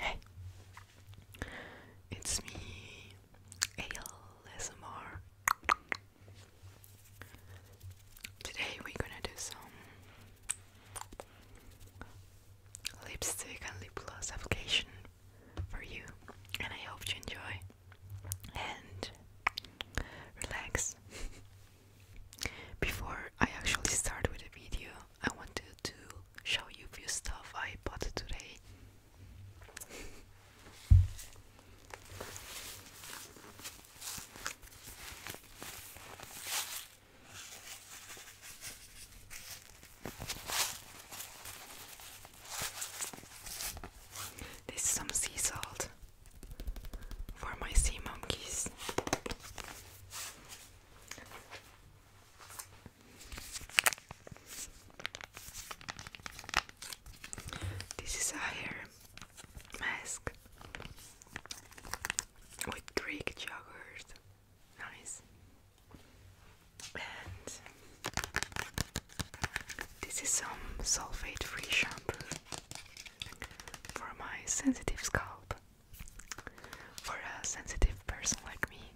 Hey, it's me, ASMR. Today we're gonna do some lipstick and lip gloss application for you, and I hope you enjoy and relax. Before I actually start with the video, I wanted to show you a few stuff I bought today. This is some sea salt for my sea monkeys. This is a hair mask with Greek yogurt. Nice. And this is some sulfate free shampoo for my sensitive scalp. For a sensitive person like me.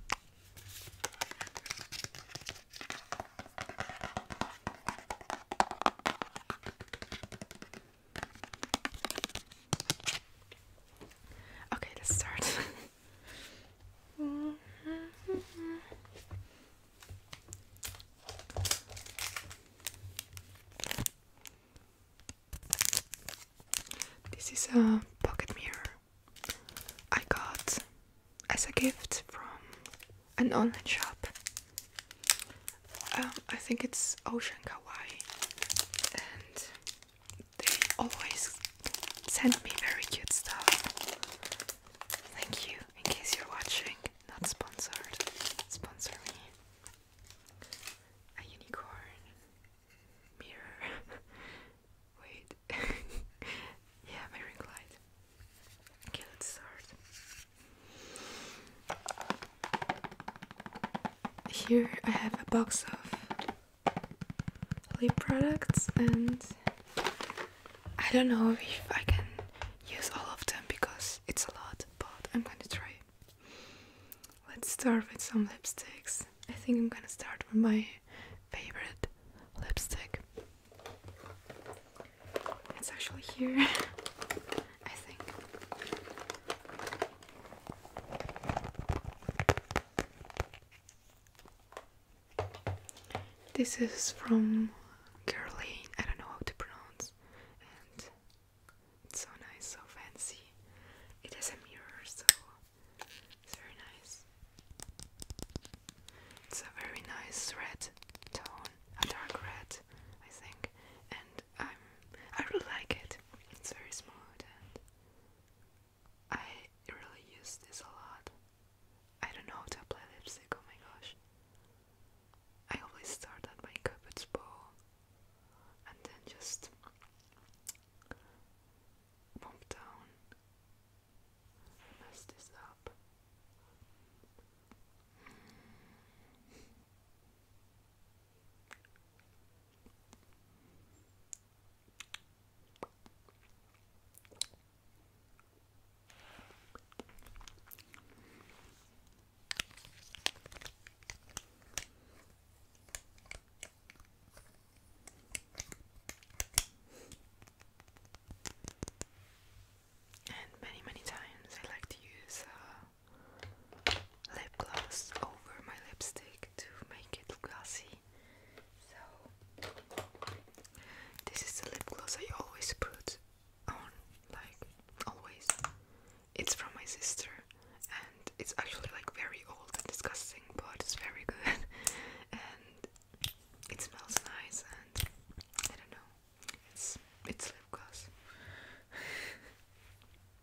Okay, let's start. This is a pocket mirror I got as a gift from an online shop. Um, I think it's Ocean Kawaii, and they always send me very cute stuff. Thank you, in case you're watching. Not sponsored. Sponsor me. A unicorn mirror. Wait. yeah, my ring light. Okay, let's start. Here I have a box of lip products and I don't know if I can use all of them because it's a lot but I'm gonna try. Let's start with some lipsticks. I think I'm gonna start with my favorite lipstick. It's actually here. I think this is from Girlie, I don't know how to pronounce, and it's so nice, so fancy. It has a mirror, so it's very nice. It's a very nice red tone, a dark red, I think, and I'm I really like it. It's very smooth I really use this a lot. I don't know how to apply lipstick, oh my gosh. I always start at my cupid's bow and then just bump down, mess this up. And many, many times I like to use uh, lip gloss over my lipstick like to make it glossy. So this is the lip gloss I always put on, like always. It's from my sister and it's actually like very old and disgusting, but it's very good and it smells nice and I don't know. It's it's lip gloss.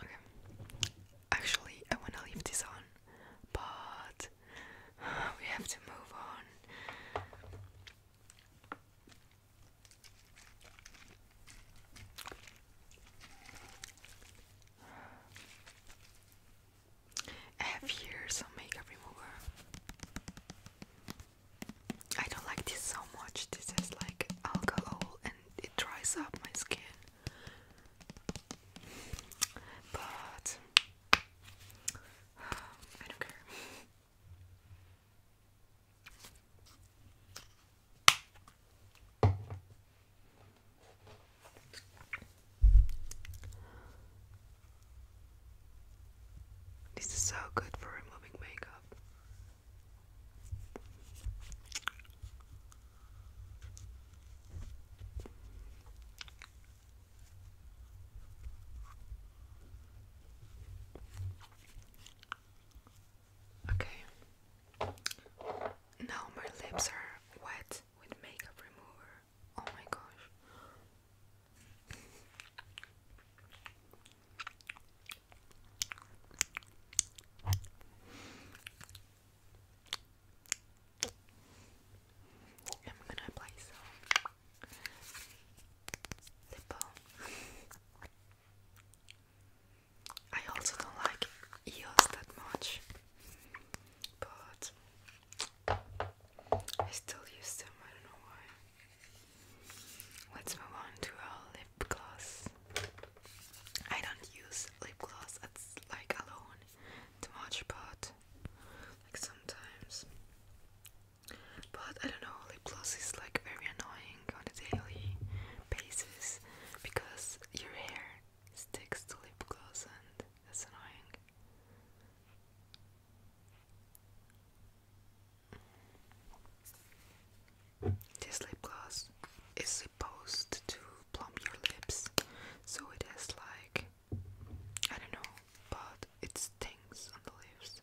Okay. Actually, I want to leave this on, but we have to move on. I have here some makeup remover. I don't like this so much. This is like alcohol and it dries up my skin. But I don't care. This is so good for removing makeup. Okay. Now my lips are wet with makeup remover. Oh my gosh. I'm gonna apply some lip I also don't like EOS that much, but I still use them, I don't know why. Let's move on to our lip gloss. I don't use lip gloss it's like alone too much but like sometimes but I don't know lip gloss is like very annoying on a daily basis because your hair sticks to lip gloss and that's annoying this lip gloss is supposed to plump your lips, so it has like I don't know, but it stings on the lips.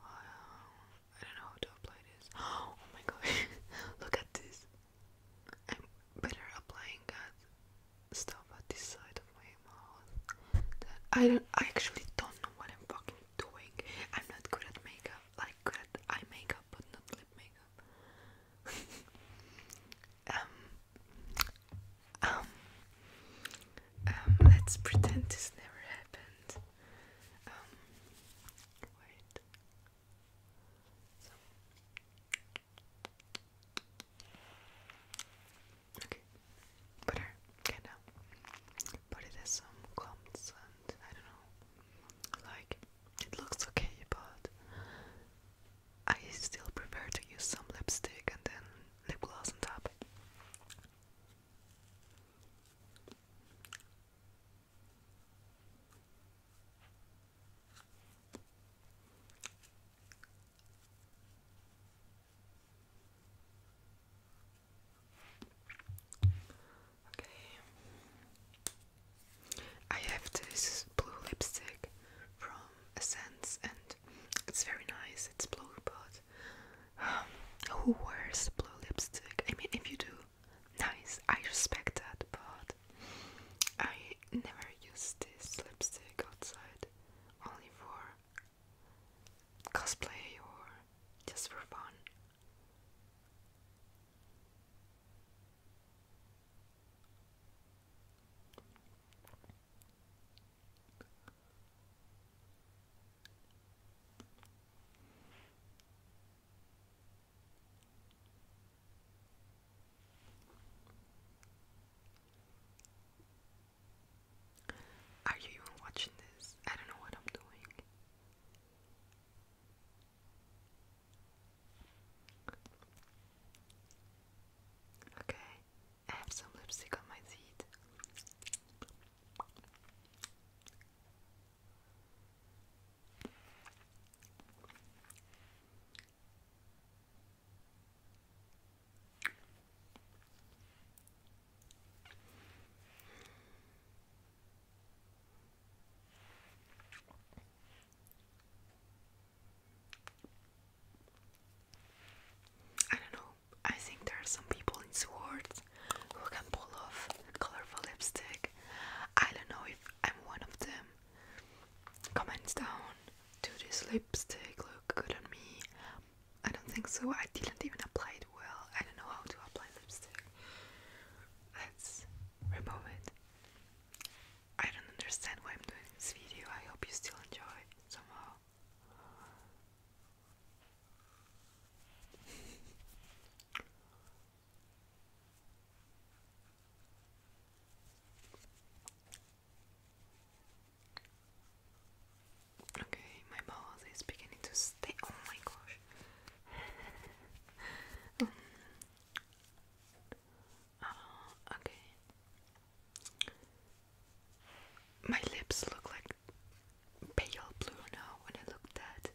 I uh, don't know how to apply this. Oh my god, look at this! I'm better applying that stuff at this side of my mouth I don't I actually don't know what I'm fucking doing. I'm not good at makeup, like good at eye makeup but not lip makeup. um, um, um let's pretend this never happened. Um wait. Okay. Put her kinda it as some clumps and I don't know. Like it looks okay but I still prefer to use some lipstick and then lip gloss on top. Okay. I have this blue lipstick from Essence and it's very nice. It's blue, but um, who wears blue lipstick? I mean, if you do, nice. I respect that, but I never use this lipstick outside, only for cosplay or just for fun. Are you even watching this? I don't know what I'm doing. Okay, I have some lipstick on my teeth. I don't know. I think there are some people in Swords who can pull off colorful lipstick. I don't know if I'm one of them. Comments down do this lipstick look good on me? I don't think so. I didn't even apply it well. I don't know how to apply lipstick. Let's remove it. I don't understand why I'm doing this video. I hope you still enjoy somehow. Okay, my mouth is beginning to stay. Oh my gosh. Um, uh, okay. My lips look like pale blue now when I look at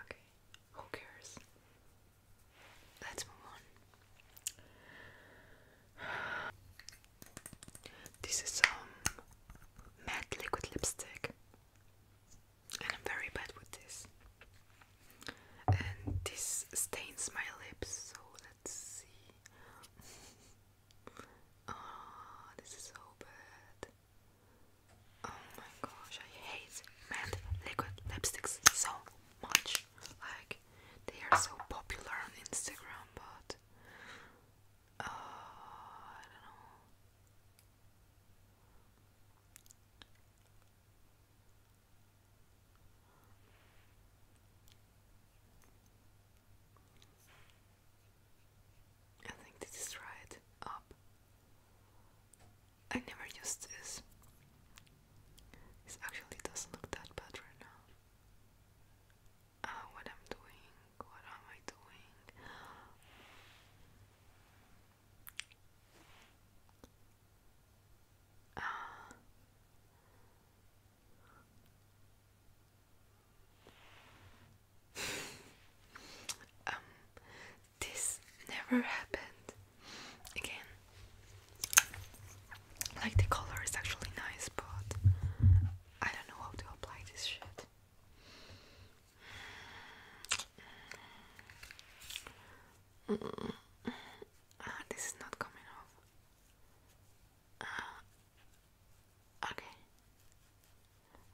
Okay, who cares? Let's move on. This is some um, matte liquid lipstick, and I'm very bad with this. And this stains my lips, so let's see. oh, this is so bad. Oh my gosh, I hate matte liquid lipsticks so much. Like, they are so popular on Instagram, but uh, I don't know. I think this is right up. I never used this. This actually doesn't look that bad right now. Ah, what I'm doing? What am I doing? Ah. um, this never happened. Again, like the color is actually nice, but I don't know how to apply this shit. Mm. Ah, this is not coming off. Ah. okay.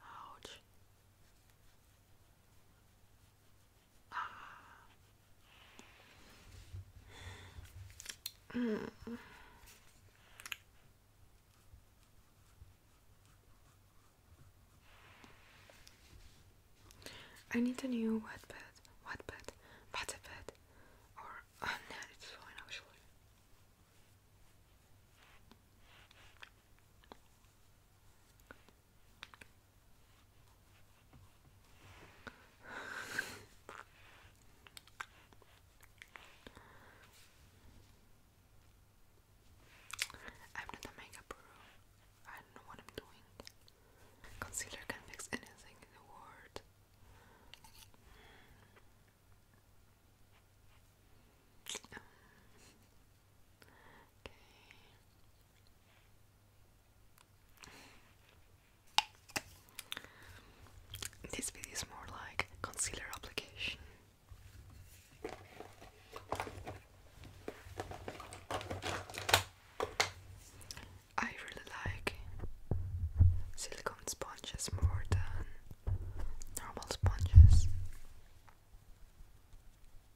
Ouch. Mm. I need a new wet bed, wet bed, butter bed, or oh no, it's fine actually. After the makeup room, I don't know what I'm doing. Concealer can fix anything in the world. Um, okay. This video is more like concealer application. I really like silicone sponges more than normal sponges.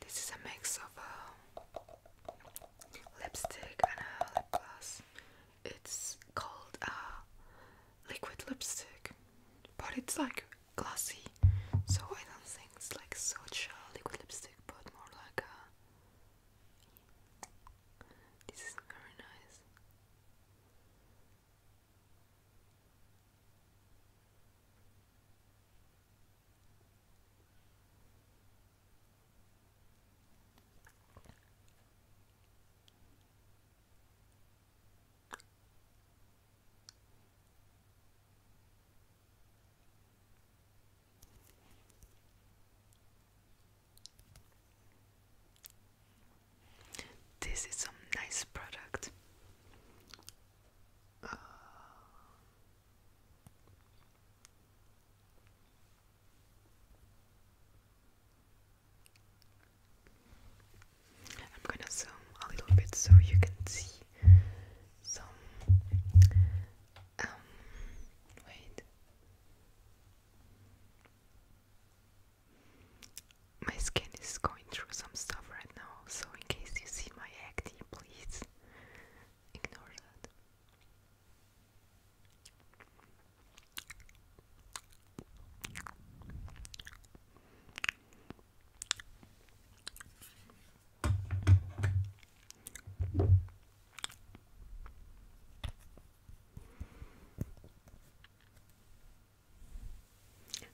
This is a mix of uh, lipstick and a lip gloss. It's called a uh, liquid lipstick, but it's like glossy, so I don't think it's like such liquid lipstick, but more like a this is very nice. This is some nice product. I'm gonna zoom a little bit so you can see some um, wait. My skin is going through some stuff right now, so in case you see my acne, please ignore that.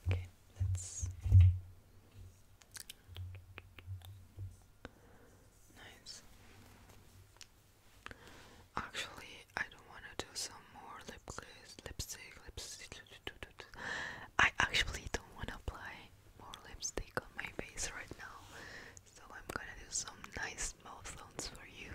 Okay, that's nice. Actually, I don't want to do some more lip lipstick, lipstick. I actually don't want to apply more lipstick on my face right now, so I'm gonna do some nice mouth sounds for you.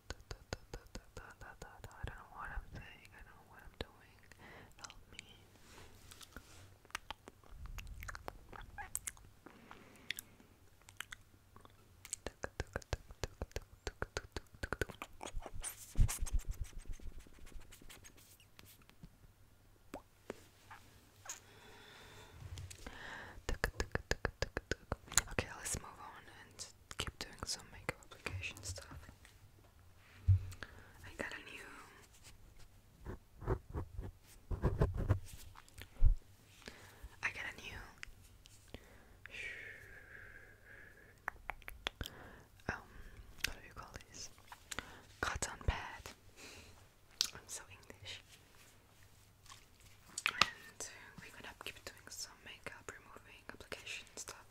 I don't know what I'm saying, I don't know what I'm doing. Help me. Okay, let's move on and keep doing some makeup application stuff. I got a new. I got a new. Um, what do you call this? Cotton pad. I'm so English. And we're gonna keep doing some makeup removing application stuff.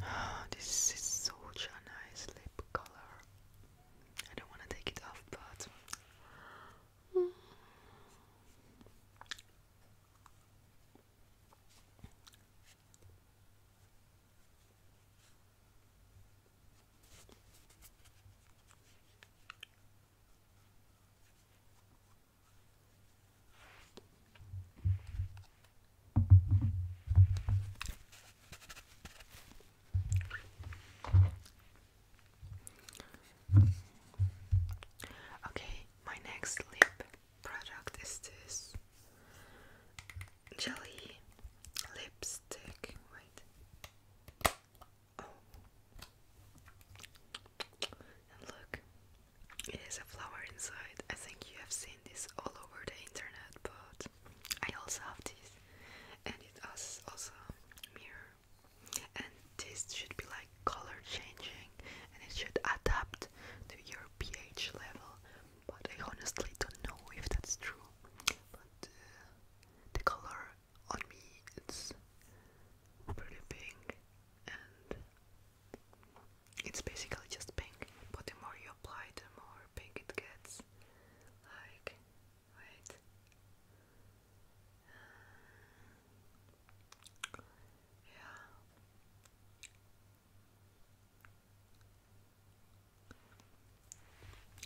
this is such a nice lip color. I don't want to take it off, but. Okay, my next lip product is this jelly lips wait. Oh. And look, it is a flower inside. I think you have seen this all over the internet, but I also have this, and it has also a mirror. And this should be like color changing, and it should adapt to your pH level. But I honestly don't know if that's true but uh, the color on me it's pretty pink and it's basically just pink but the more you apply the more pink it gets like wait uh, yeah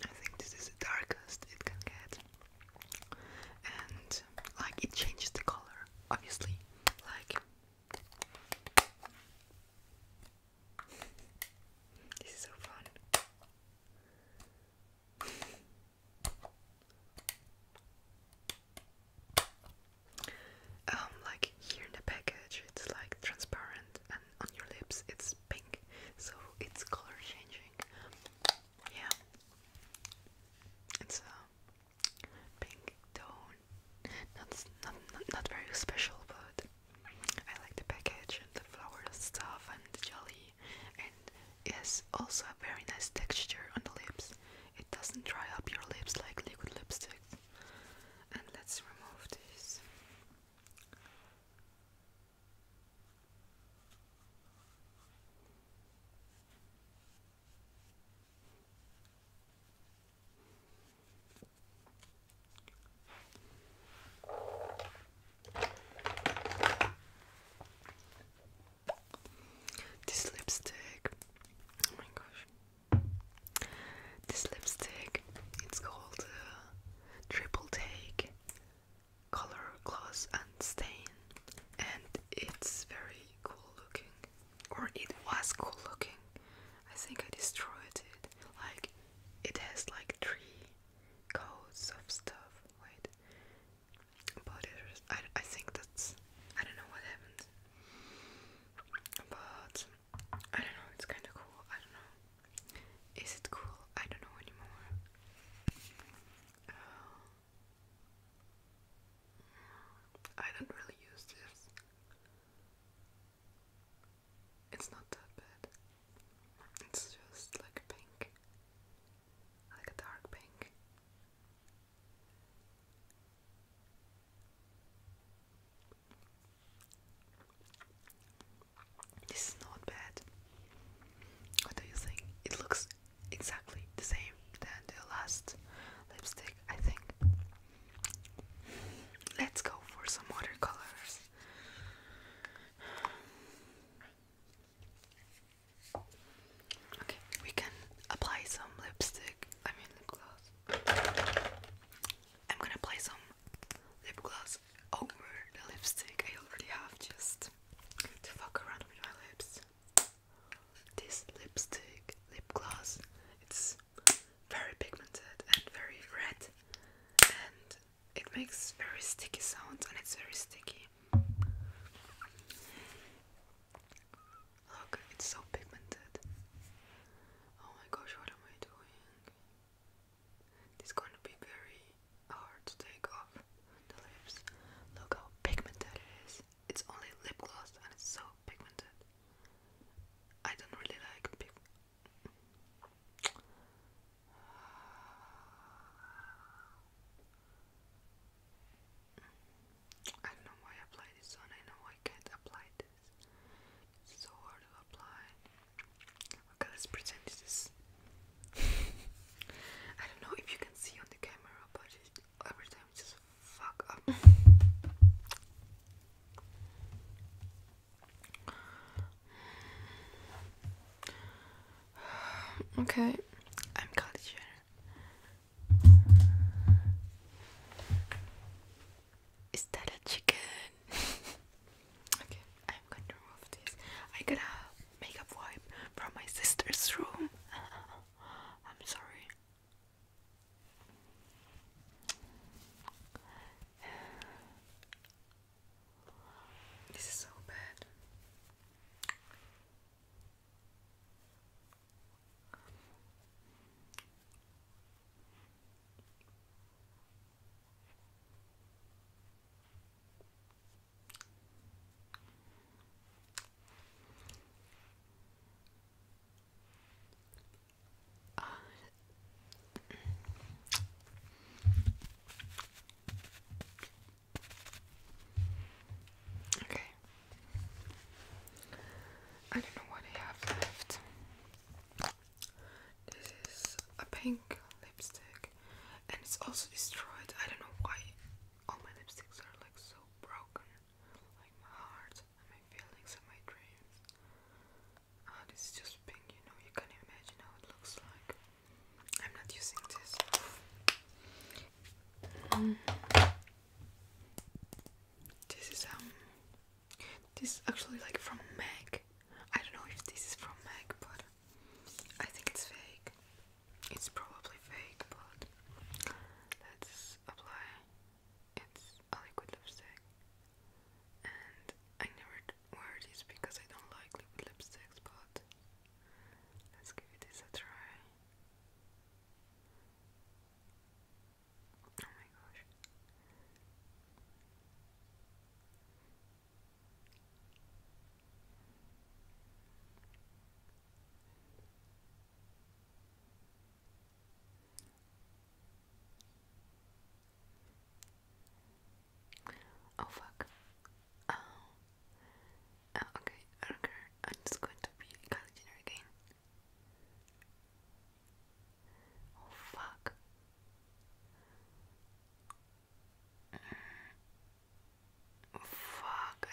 I think this is the darkest it can get, and like it changes the color, obviously. Like, this is so fun. Um, like here in the package, it's like transparent, and on your lips, it's pink, so it's color changing. Yeah, it's a pink tone. Not not not, not very special, but I like the package and the flowers stuff and the jelly, and it has also a very nice texture on the lips. It doesn't dry up your lips like liquid lipsticks. And let's remove this. This lipstick. Oh my gosh. This lipstick, it's called uh, Triple Take Color, Gloss and Stain, and it's very cool looking, or it was cool looking. I think I destroyed it. Like, it has like three coats of stuff. Wait, but I, I think that's I don't know what happened, but I don't know, it's kinda cool. I don't know. Is it cool? I don't know anymore. Uh, I don't really use this. It's not that bad. It's just like a pink. Like a dark pink. This is not bad. What do you think? It looks exactly the same than the last lipstick, I think. Let's go for some other Okay, we can apply some lipstick, I mean lip gloss. I'm gonna apply some lip gloss over the lipstick I already have just to fuck around with my lips. This lipstick, lip gloss, it's very pigmented and very red and it makes very sticky sounds and it's very sticky. Look, it's so pigmented. Oh my gosh, what am I doing? It's going to be very hard to take off the lips. Look how pigmented it is. It's only lip gloss and it's so pigmented. I don't really like I don't know why I apply this on. I know I can't apply it so hard to apply. Okay, let's pretend this is. I don't know if you can see on the camera, but every time it just fuck up. okay, I'm Kylie is that a chicken? okay, I'm going to remove this. I got a makeup wipe from my sister's room. I'm sorry. This is so bad okay. I don't know what I have left. This is a pink lipstick and it's also destroyed. I don't know why all my lipsticks are like so broken. Like my heart and my feelings and my dreams. Oh, this is just pink, you know, you can imagine how it looks like. I'm not using this. Mm. This is um this is actually like from MAC. I don't know if this is from MAC, but I think it's fake. It's probably fake, but let's apply. It's a liquid lipstick, and I never wear this because I don't like liquid lipsticks, but let's give this a try. Oh my gosh. Oh fuck. Oh. oh okay, I am just going to be Kylie Jenner again fuck. Fuck.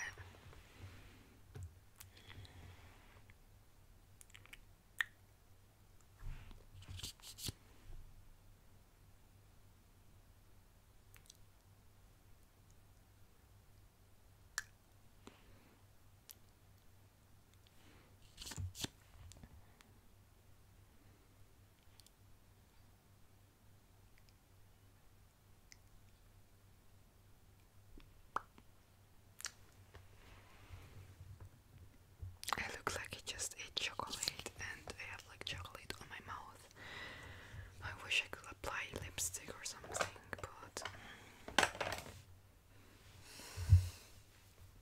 I look like I just ate chocolate and I have like chocolate on my mouth. I wish I could apply lipstick or something, but. Mm.